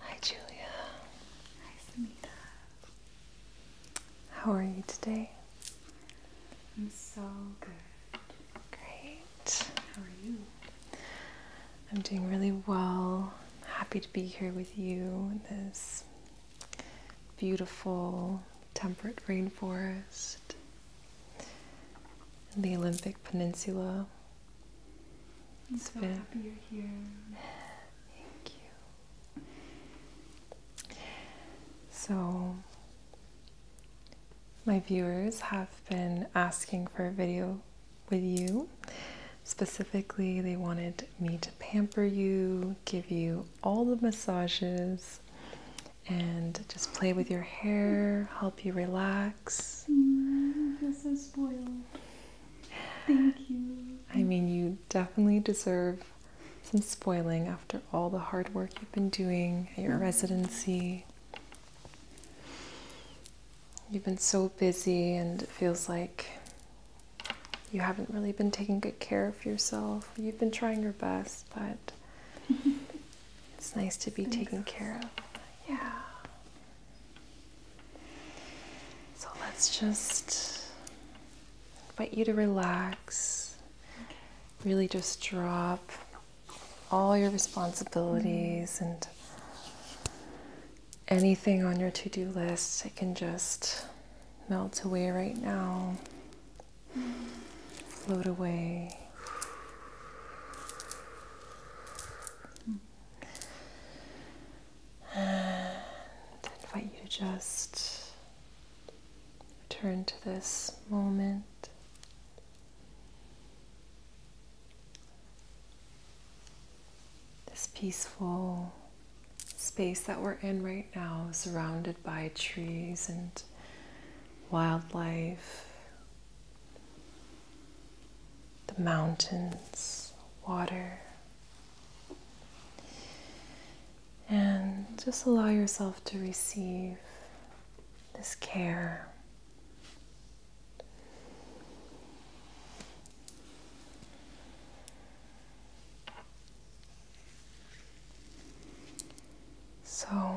Hi, Julia. Hi, Samita. How are you today? I'm so good. Great. How are you? I'm doing really well. happy to be here with you in this beautiful temperate rainforest in the Olympic Peninsula. So, my viewers have been asking for a video with you. Specifically, they wanted me to pamper you, give you all the massages, and just play with your hair, help you relax. Mm, you're so spoiled. Thank you. I mean, you definitely deserve some spoiling after all the hard work you've been doing at your residency. You've been so busy, and it feels like you haven't really been taking good care of yourself. You've been trying your best, but it's nice to be taken care of. Yeah. So let's just invite you to relax, really just drop all your responsibilities and anything on your to do list, it can just melt away right now, float away. And invite you to just return to this moment. This peaceful space that we're in right now, surrounded by trees and wildlife, the mountains, water. And just allow yourself to receive this care. So I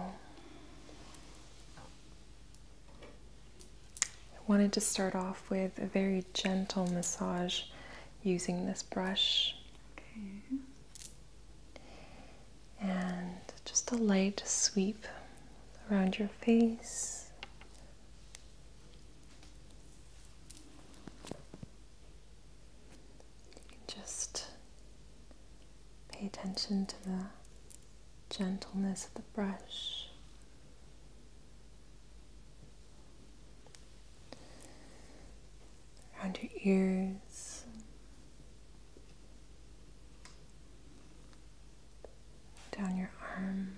wanted to start off with a very gentle massage using this brush. And just a light sweep around your face just pay attention to the gentleness of the brush. Around your ears. Down your arm.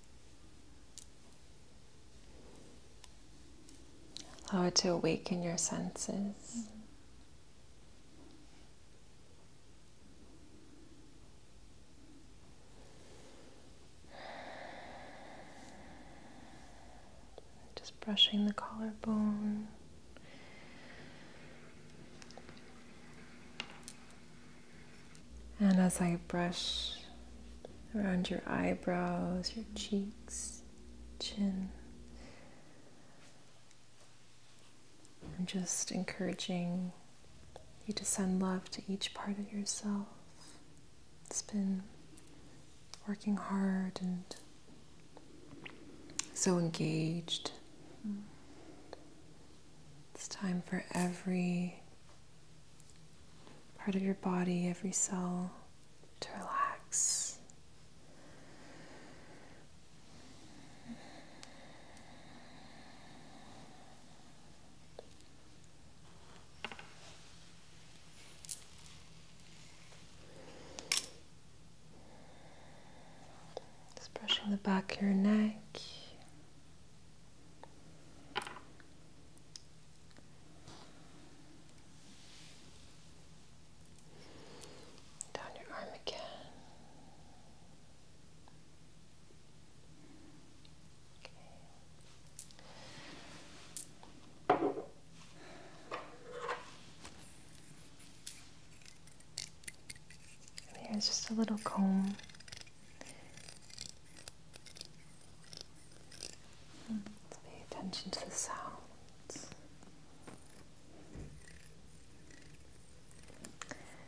Allow it to awaken your senses. Just brushing the collarbone. And as I brush around your eyebrows, your cheeks, chin, I'm just encouraging you to send love to each part of yourself. It's been working hard and so engaged. Mm. It's time for every part of your body, every cell, to relax. Just brushing the back of your neck, down your arm again. Okay. just a little comb pay attention to the sounds.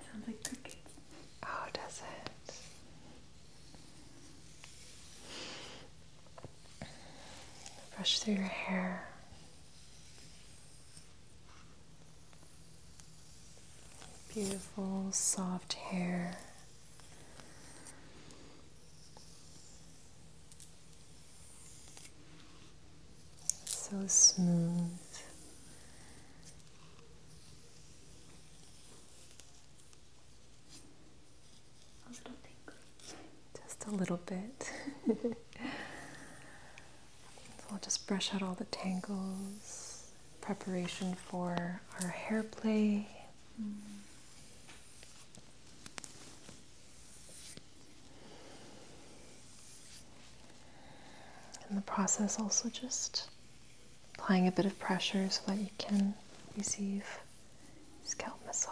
Sounds like cookies. Oh, does it? Brush through your hair. Beautiful, soft hair. So smooth. A little tingly. Just a little bit. so I'll just brush out all the tangles. Preparation for our hair play in mm. the process also just applying a bit of pressure so that you can receive scalp massage.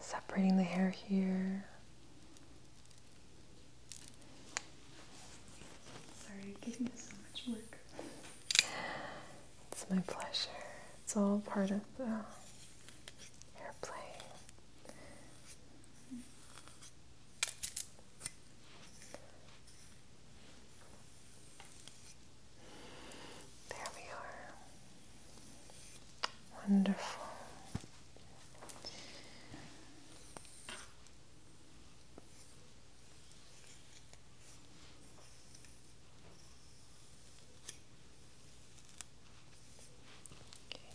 separating the hair here. Sorry, giving us so much work. It's my pleasure. It's all part of the airplane. Mm there we are. Wonderful. Okay.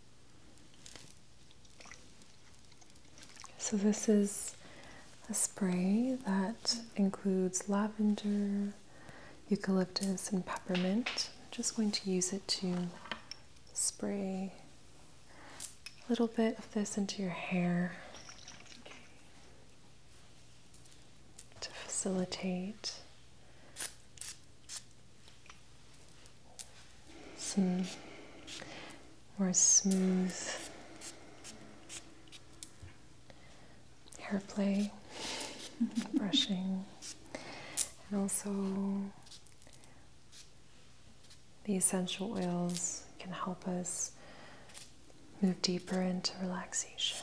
So, this is a spray that includes lavender, eucalyptus, and peppermint. I'm just going to use it to spray a little bit of this into your hair to facilitate some more smooth hair play, brushing, and also the essential oils can help us move deeper into relaxation.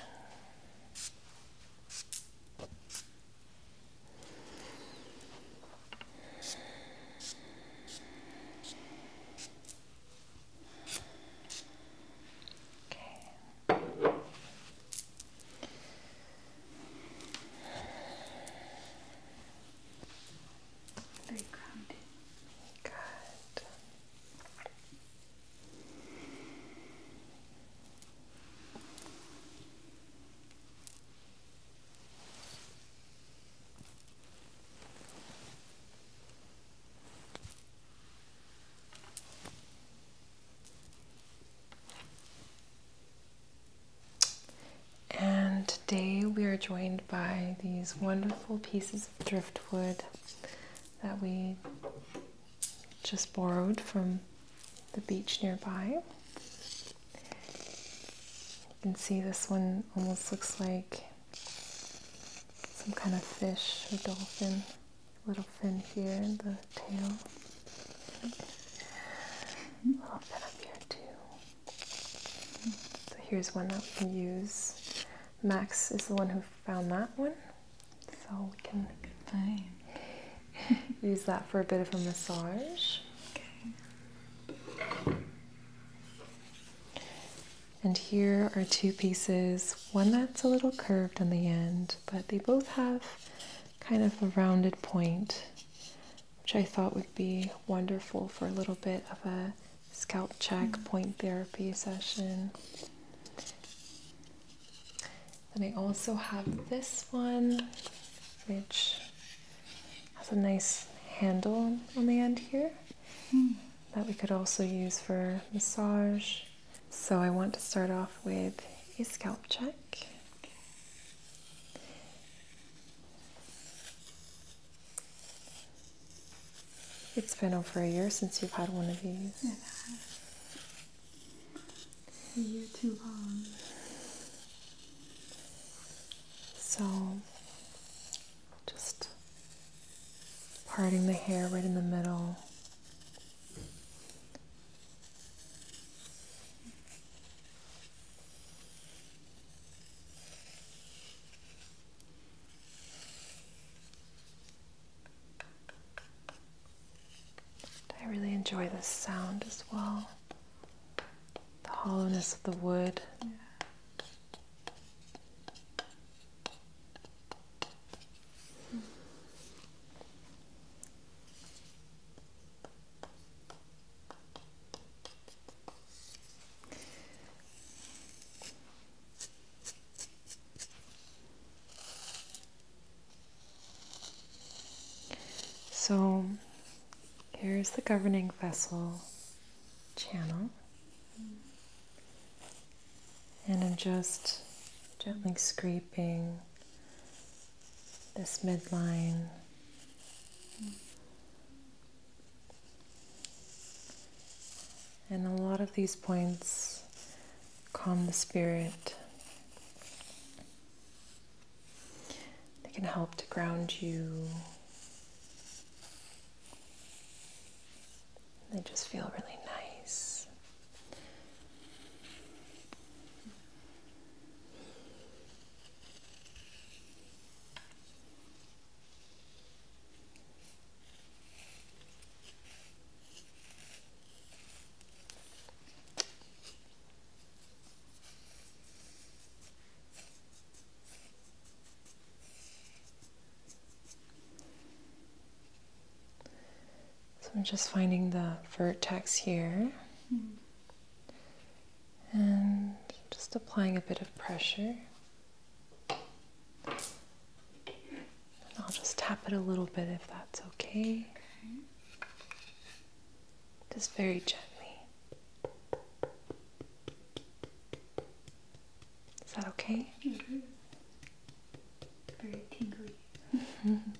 Okay. Very grounded. Good. And today we are joined by these wonderful pieces of driftwood that we just borrowed from the beach nearby. You can see this one almost looks like some kind of fish or dolphin. Little fin here the tail. Little fin up here too. So here's one that we can use. Max is the one who found that one. So we can use that for a bit of a massage. Okay. And here are two pieces, one that's a little curved on the end, but they both have kind of a rounded point, which I thought would be wonderful for a little bit of a scalp check mm. point therapy session. Then I also have this one, which has a nice handle on the end here hmm. that we could also use for massage. So I want to start off with a scalp check. It's been over a year since you've had one of these. It A year too long. So just parting the hair right in the middle. I really enjoy this sound as well the hollowness of the wood. So Here's the governing vessel channel. And I'm just gently scraping this midline. And a lot of these points calm the spirit. They can help to ground you. They just feel really nice. So I'm just finding the vertex here and just applying a bit of pressure. And I'll just tap it a little bit if that's okay just very gently. Is that okay? Mm-hmm. Very tingly.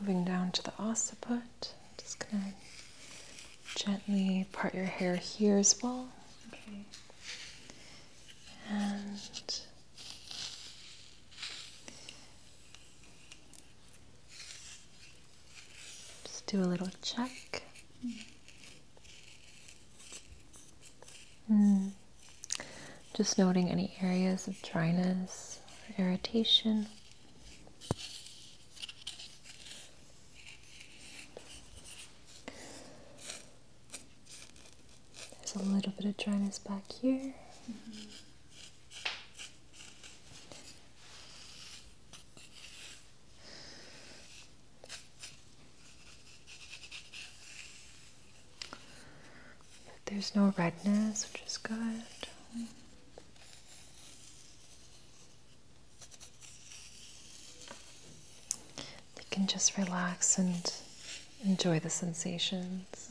Moving down to the occiput, just gonna gently part your hair here as well. And just do a little check. Hmm. Just noting any areas of dryness or irritation. There's a little bit of dryness back here there's no redness, which is good. You can just relax and enjoy the sensations.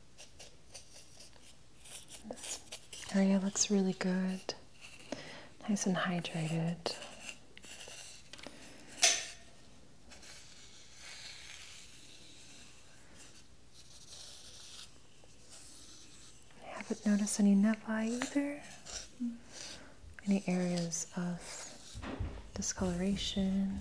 This area looks really good. Nice and hydrated. haven't noticed any nevi either. Any areas of discoloration.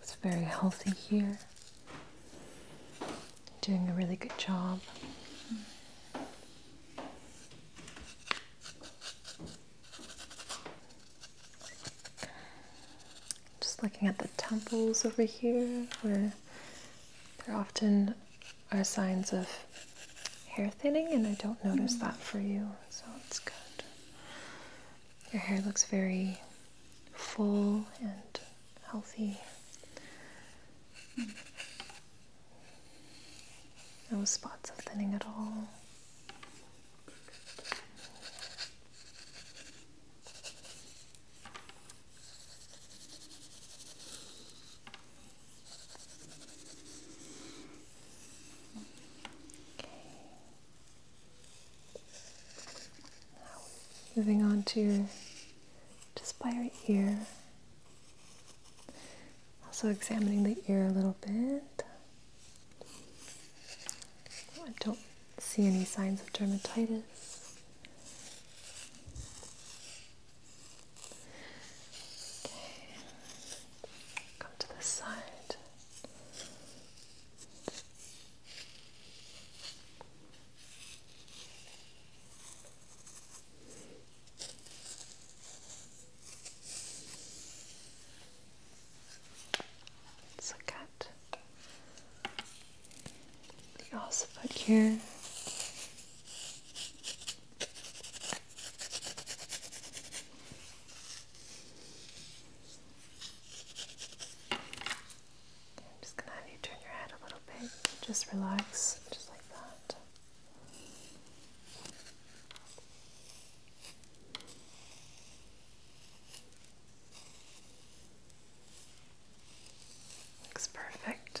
It's very healthy here. Doing a really good job. Just looking at the temples over here, where there often are signs of hair thinning, and I don't notice mm. that for you, so it's good. Your hair looks very full and healthy. No spots of thinning at all moving on to your, just by your ear. Also examining the ear a little bit. I don't see any signs of dermatitis. Okay. Come to this side. Let's look at the here. I'm just gonna have you turn your head a little bit. Just relax, just like that. Looks perfect.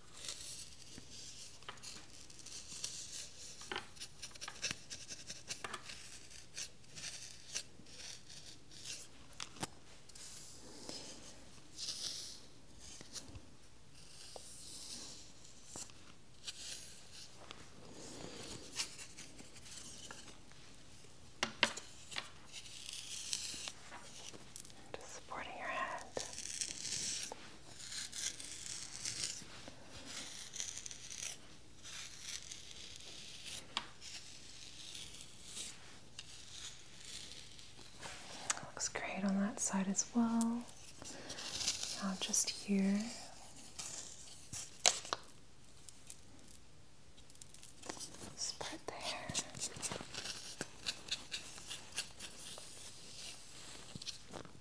Just supporting your head. Looks great on that side as well. Now just here. Spread the hair.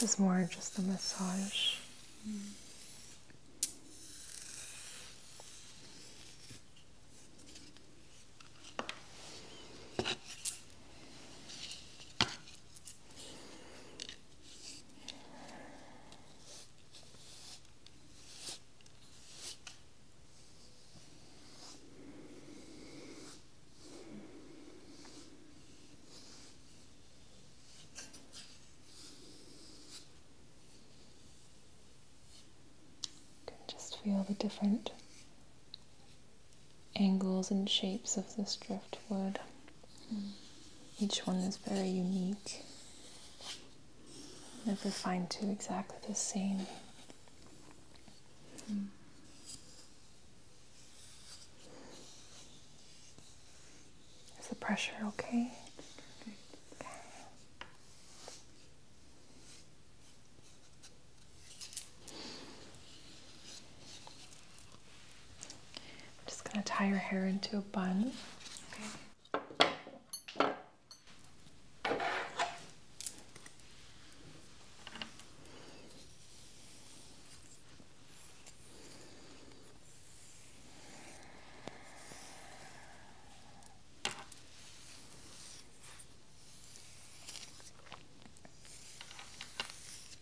This is more just a massage. You can just feel the different angles and shapes of this driftwood. Hmm. Each one is very unique. Never find two exactly the same. Hmm. Is the pressure okay? I'm just going to tie her hair into a bun. Okay.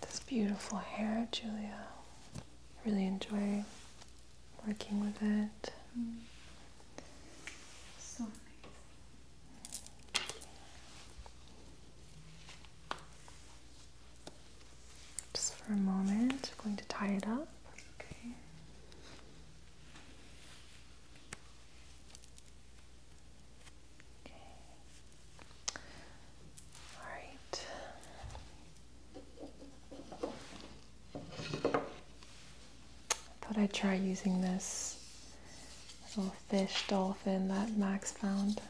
This beautiful hair, Julia. Really enjoy working with it. Mm. So nice. Just for a moment, I'm going to tie it up. Okay. Okay. All right. I thought I'd try using this little fish dolphin that Max found.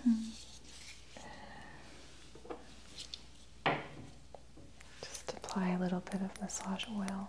Just apply a little bit of massage oil.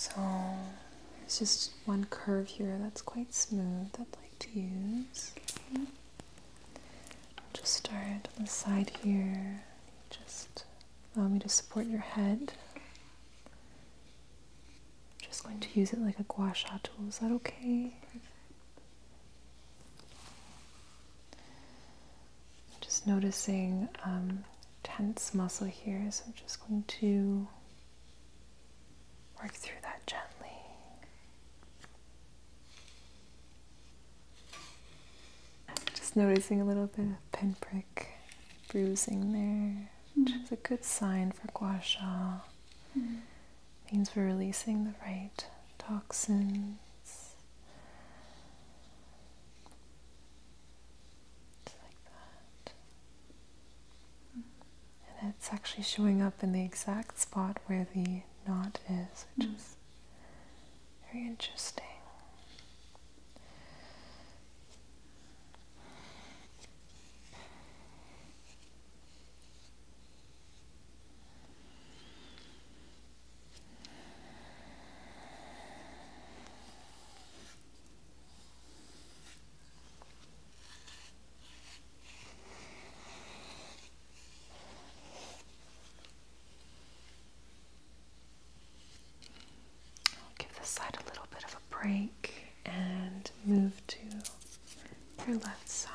So there's just one curve here that's quite smooth I'd like to use. I'll just start on the side here. Just allow me to support your head. just going to use it like a gua sha tool. Is that okay? Just noticing um, tense muscle here, so I'm just going to work through that gently. Just noticing a little bit of pinprick bruising there, which mm. is a good sign for gua sha. Mm. Means we're releasing the right toxins. like that. Mm. And it's actually showing up in the exact spot where the knot is, which mm. is very interesting give this side a little bit of a break and move to your left side.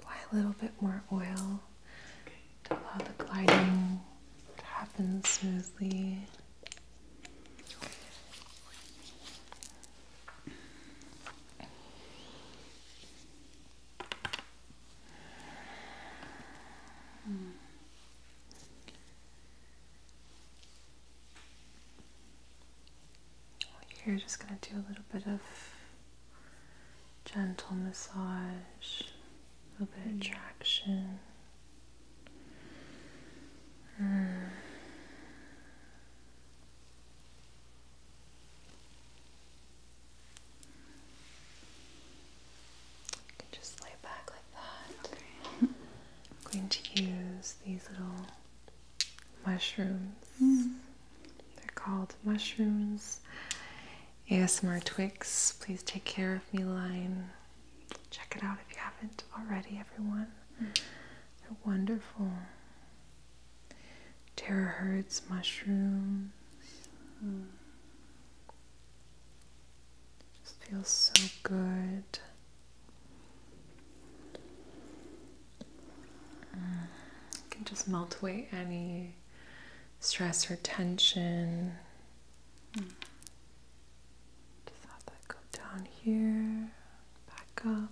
Apply a little bit more oil to allow the gliding to happen smoothly. Hmm. You're just going to do a little bit of gentle massage, a bit of mm. traction just lay back like that. I'm going to use these little mushrooms. Mm-hmm. They're called mushrooms. ASMR Twix, please take care of me line. Check it out if you haven't already, everyone. Mm-hmm. They're wonderful terahertz mushrooms. Just feels so good. can just melt away any stress or tension. Just have that go down here, back up.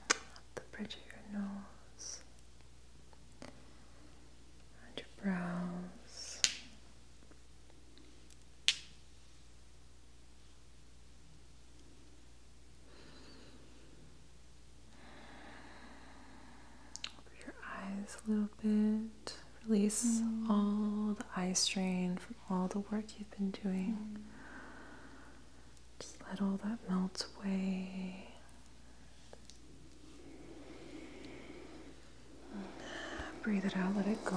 Up the bridge of your nose and your brows your eyes a little bit. Release mm. all the eye strain from all the work you've been doing. Just let all that melt away. Breathe it out, let it go.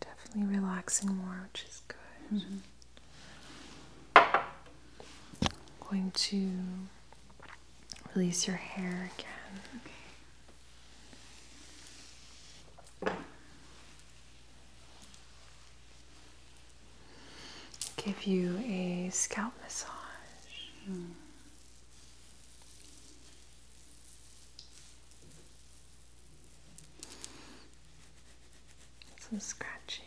definitely relaxing more, which is good. I'm mm-hmm. going to release your hair again. Give you a scalp massage. Mm-hmm. Some scratching.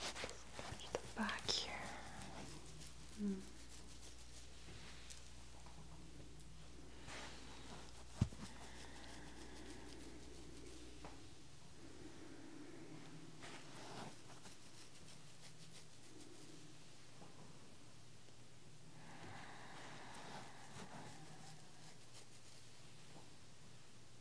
Just the back here.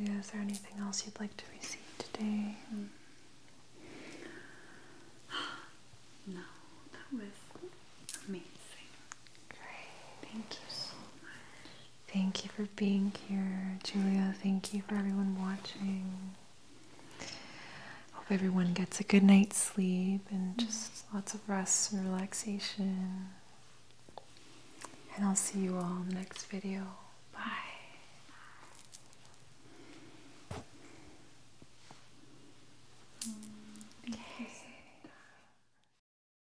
Julia, is there anything else you'd like to receive today? No, that was amazing. Great. Thank you so much. Thank you for being here, Julia. Thank you for everyone watching. Hope everyone gets a good night's sleep and mm-hmm. just lots of rest and relaxation. And I'll see you all in the next video. Bye. Mm,